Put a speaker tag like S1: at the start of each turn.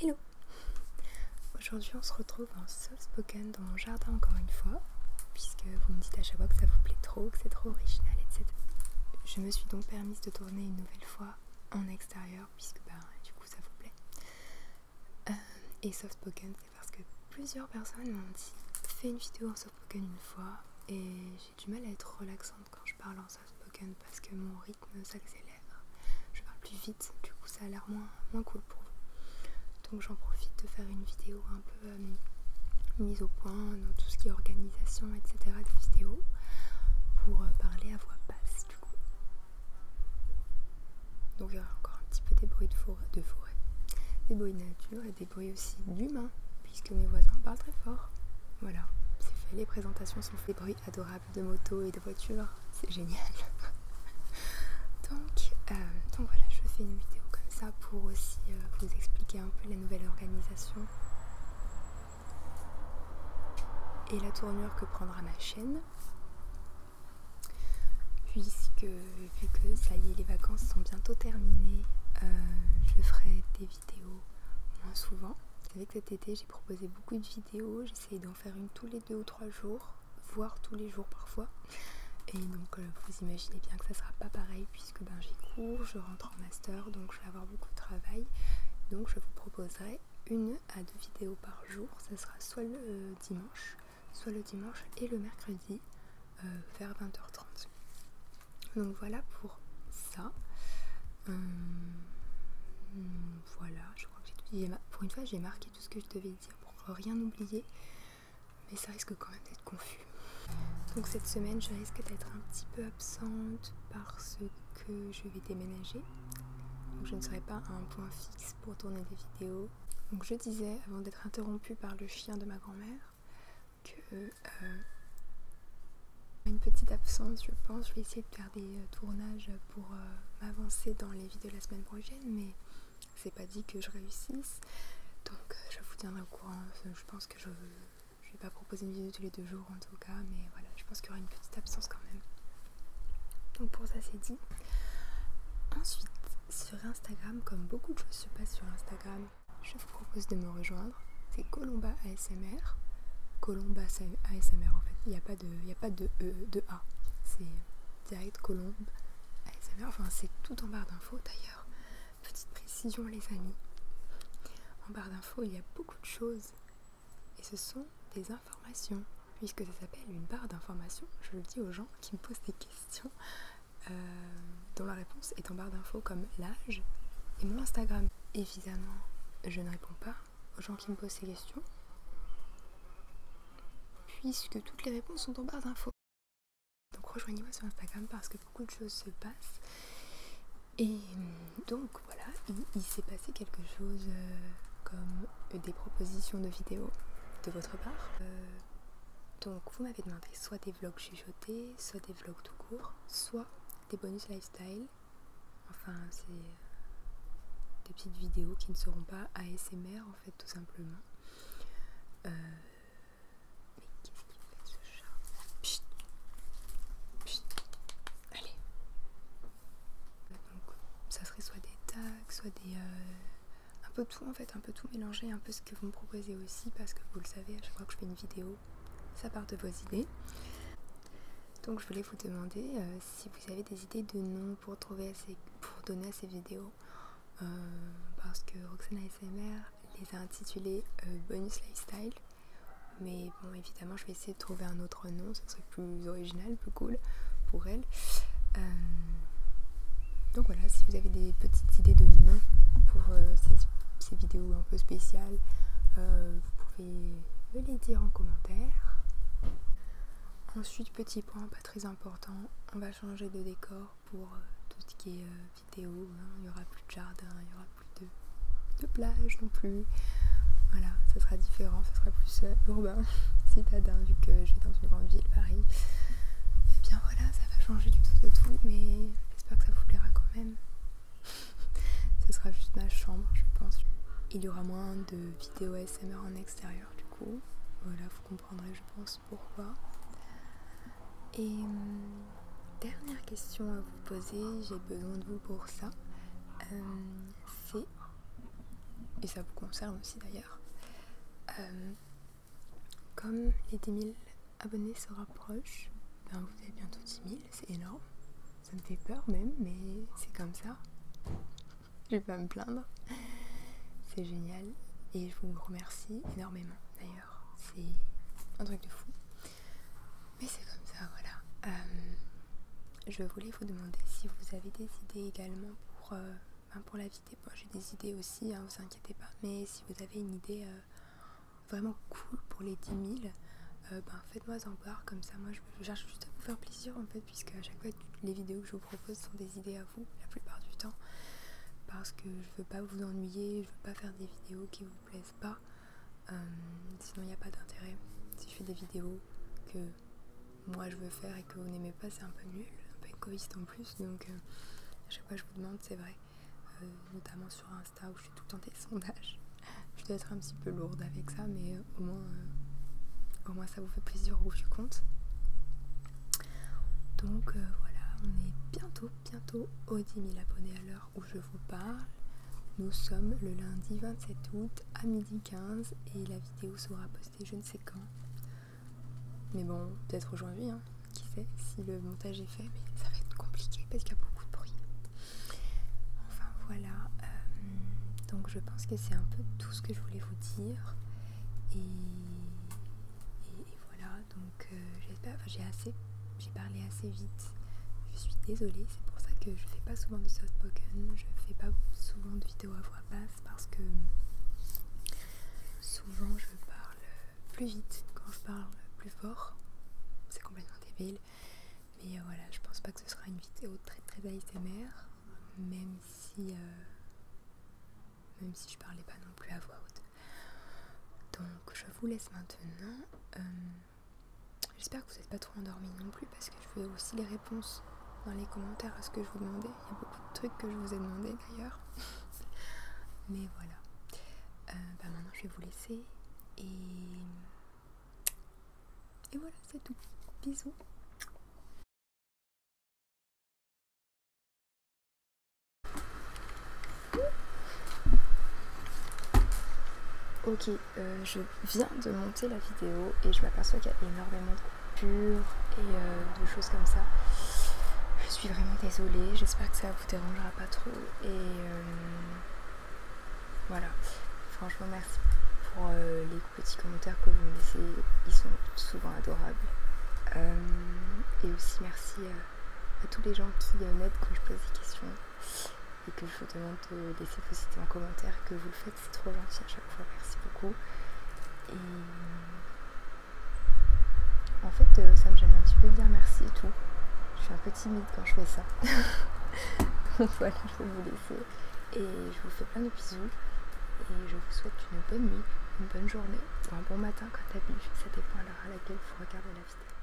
S1: Hello Aujourd'hui on se retrouve en soft spoken dans mon jardin encore une fois puisque vous me dites à chaque fois que ça vous plaît trop, que c'est trop original etc. Je me suis donc permise de tourner une nouvelle fois en extérieur puisque bah, du coup ça vous plaît euh, et soft spoken c'est parce que plusieurs personnes m'ont dit fais une vidéo en soft spoken une fois et j'ai du mal à être relaxante quand je parle en spoken parce que mon rythme s'accélère. Je parle plus vite, du coup ça a l'air moins, moins cool pour vous. Donc j'en profite de faire une vidéo un peu euh, mise au point dans tout ce qui est organisation, etc. de vidéos pour euh, parler à voix basse du coup. Donc il y aura encore un petit peu des bruits de forêt, de forêt des bruits de nature et des bruits aussi d'humains puisque mes voisins parlent très fort. Voilà, c'est fait, les présentations sont faites adorable de moto et de voiture, c'est génial. donc, euh, donc voilà, je fais une vidéo comme ça pour aussi euh, vous expliquer un peu la nouvelle organisation et la tournure que prendra ma chaîne. Puisque vu que ça y est, les vacances sont bientôt terminées, euh, je ferai des vidéos moins souvent. Vous savez que cet été j'ai proposé beaucoup de vidéos, j'essaye d'en faire une tous les deux ou trois jours, voire tous les jours parfois. Et donc euh, vous imaginez bien que ça sera pas pareil puisque ben, j'ai cours, je rentre en master, donc je vais avoir beaucoup de travail. Donc je vous proposerai une à deux vidéos par jour. Ça sera soit le euh, dimanche, soit le dimanche et le mercredi euh, vers 20h30. Donc voilà pour ça. Euh, voilà, je crois que j'ai pour une fois j'ai marqué tout ce que je devais dire pour rien oublier, mais ça risque quand même d'être confus. Donc cette semaine, je risque d'être un petit peu absente parce que je vais déménager. Donc je ne serai pas à un point fixe pour tourner des vidéos. Donc je disais, avant d'être interrompue par le chien de ma grand-mère, que aura euh, une petite absence je pense. Je vais essayer de faire des euh, tournages pour euh, m'avancer dans les vies de la semaine prochaine mais c'est pas dit que je réussisse. Donc je vous tiendrai au courant. Je pense que je, je vais pas proposer une vidéo tous les deux jours en tout cas mais voilà je pense qu'il y aura une petite absence quand même. Donc pour ça c'est dit. Ensuite sur Instagram, comme beaucoup de choses se passent sur Instagram, je vous propose de me rejoindre. C'est Colomba ASMR. Colomba ASMR en fait. Il n'y a pas de, il a pas de e, de A. C'est direct Colombe ASMR. Enfin, c'est tout en barre d'infos d'ailleurs. Petite précision, les amis. En barre d'infos, il y a beaucoup de choses. Et ce sont des informations. Puisque ça s'appelle une barre d'informations, je le dis aux gens qui me posent des questions euh, dont la réponse est en barre d'infos comme l'âge et mon Instagram. Évidemment, je ne réponds pas aux gens qui me posent ces questions, puisque toutes les réponses sont en barre d'infos. Donc rejoignez-moi sur Instagram parce que beaucoup de choses se passent. Et donc voilà, il, s'est passé quelque chose euh, comme des propositions de vidéos de votre part. Euh, donc vous m'avez demandé soit des vlogs chez soit des vlogs tout court, soit des bonus lifestyle. Enfin, c'est euh, des petites vidéos qui ne seront pas ASMR en fait, tout simplement. Euh, mais qu'est-ce qu'il fait ce chat Allez Donc, ça serait soit des tags, soit des, euh, un peu tout en fait, un peu tout mélanger, un peu ce que vous me proposez aussi, parce que vous le savez, à chaque fois que je fais une vidéo, ça part de vos idées. Donc je voulais vous demander euh, si vous avez des idées de noms pour, trouver pour donner à ces vidéos, euh, parce que Roxana ASMR les a intitulées euh, Bonus Lifestyle, mais bon évidemment je vais essayer de trouver un autre nom, ce serait plus original, plus cool pour elle. Donc voilà, si vous avez des petites idées de noms pour euh, ces, vidéos un peu spéciales, euh, vous pouvez me les dire en commentaire. Ensuite, petit point pas très important, on va changer de décor pour euh, tout ce qui est vidéo. Hein. Il n'y aura plus de jardin, il n'y aura plus de, plage non plus. Voilà, ça sera différent, ça sera plus urbain, citadin, vu que je vais dans une grande ville, Paris. bien, voilà, ça va changer du tout de tout, mais j'espère que ça vous plaira quand même. Ce sera juste ma chambre, je pense. Il y aura moins de vidéos ASMR en extérieur, du coup. Voilà, vous comprendrez, je pense, pourquoi. Et hum, dernière question à vous poser, j'ai besoin de vous pour ça. Hum, c'est, et ça vous concerne aussi d'ailleurs, hum, comme les 10 000 abonnés se rapprochent, ben, vous avez bientôt 10 000, c'est énorme. Ça me fait peur même, mais c'est comme ça. Je vais pas me plaindre. C'est génial. Et je vous remercie énormément d'ailleurs. C'est un truc de fou. Mais c'est comme ça, voilà. Euh, je voulais vous demander si vous avez des idées également pour, euh, ben, la pour pas, j'ai des idées aussi, ne hein, vous inquiétez pas. Mais si vous avez une idée euh, vraiment cool pour les 10 000, euh, ben, faites-moi en voir, comme ça moi je cherche juste à vous faire plaisir en fait, puisque à chaque fois les vidéos que je vous propose sont des idées à vous la plupart du temps. Parce que je veux pas vous ennuyer, je veux pas faire des vidéos qui vous plaisent pas. Euh, sinon il n'y a pas d'intérêt. Si je fais des vidéos que moi je veux faire et que vous n'aimez pas, c'est un peu nul, un peu égoïste en plus. Donc, je euh, sais chaque fois, je vous demande, c'est vrai, euh, notamment sur Insta où je suis tout le temps des sondages. Je dois être un petit peu lourde avec ça, mais euh, au moins, au moins ça vous fait plaisir au je compte. Donc voilà, on est bientôt, bientôt aux 10 000 abonnés à l'heure où je vous parle. Nous sommes le lundi 27 août à midi 15 et la vidéo sera postée je ne sais quand. Mais bon, peut-être aujourd'hui, hein. qui sait, si le montage est fait, mais ça va être compliqué parce qu'il y a beaucoup de bruit. Enfin voilà, euh, donc je pense que c'est un peu tout ce que je voulais vous dire. Et, et, voilà, donc euh, j'espère, enfin j'ai assez, j'ai parlé assez vite. Je suis désolée, c'est pour ça que je fais pas souvent de soft spoken, je fais pas souvent de à voix basse parce que souvent je parle plus vite quand je parle plus fort. C'est complètement débile. Mais euh, voilà, je pense pas que ce sera une vidéo très très ASMR, même si, euh, même si je parlais pas non plus à voix haute. Donc je vous laisse maintenant. Euh, J'espère que vous n'êtes pas trop endormis non plus parce que je veux aussi les réponses dans les commentaires à ce que je vous demandais. Il y a beaucoup de trucs que je vous ai demandé d'ailleurs. Mais voilà. Euh, bah, maintenant je vais vous laisser. Et, et voilà, c'est tout. Bisous. Ok, euh, je viens de monter la vidéo et je m'aperçois qu'il y a énormément de coupures et euh, de choses comme ça. Je suis vraiment désolée, j'espère que ça vous dérangera pas trop et euh, voilà. Franchement merci pour les petits commentaires que vous me laissez, ils sont souvent adorables. et aussi merci à tous les gens qui m'aident quand je pose des questions et que je vous demande de laisser vos cités en commentaire, que vous le faites, c'est trop gentil à chaque fois, merci beaucoup. Et en fait, euh, ça me gêne un petit peu de dire merci et tout. Je suis un peu timide quand je fais ça. Donc voilà, je vais vous laisser. Et je vous fais plein de bisous. Et je vous souhaite une bonne nuit, une bonne journée un bon matin quand t'as plus. Ça dépend à l'heure à laquelle vous regardez la vidéo.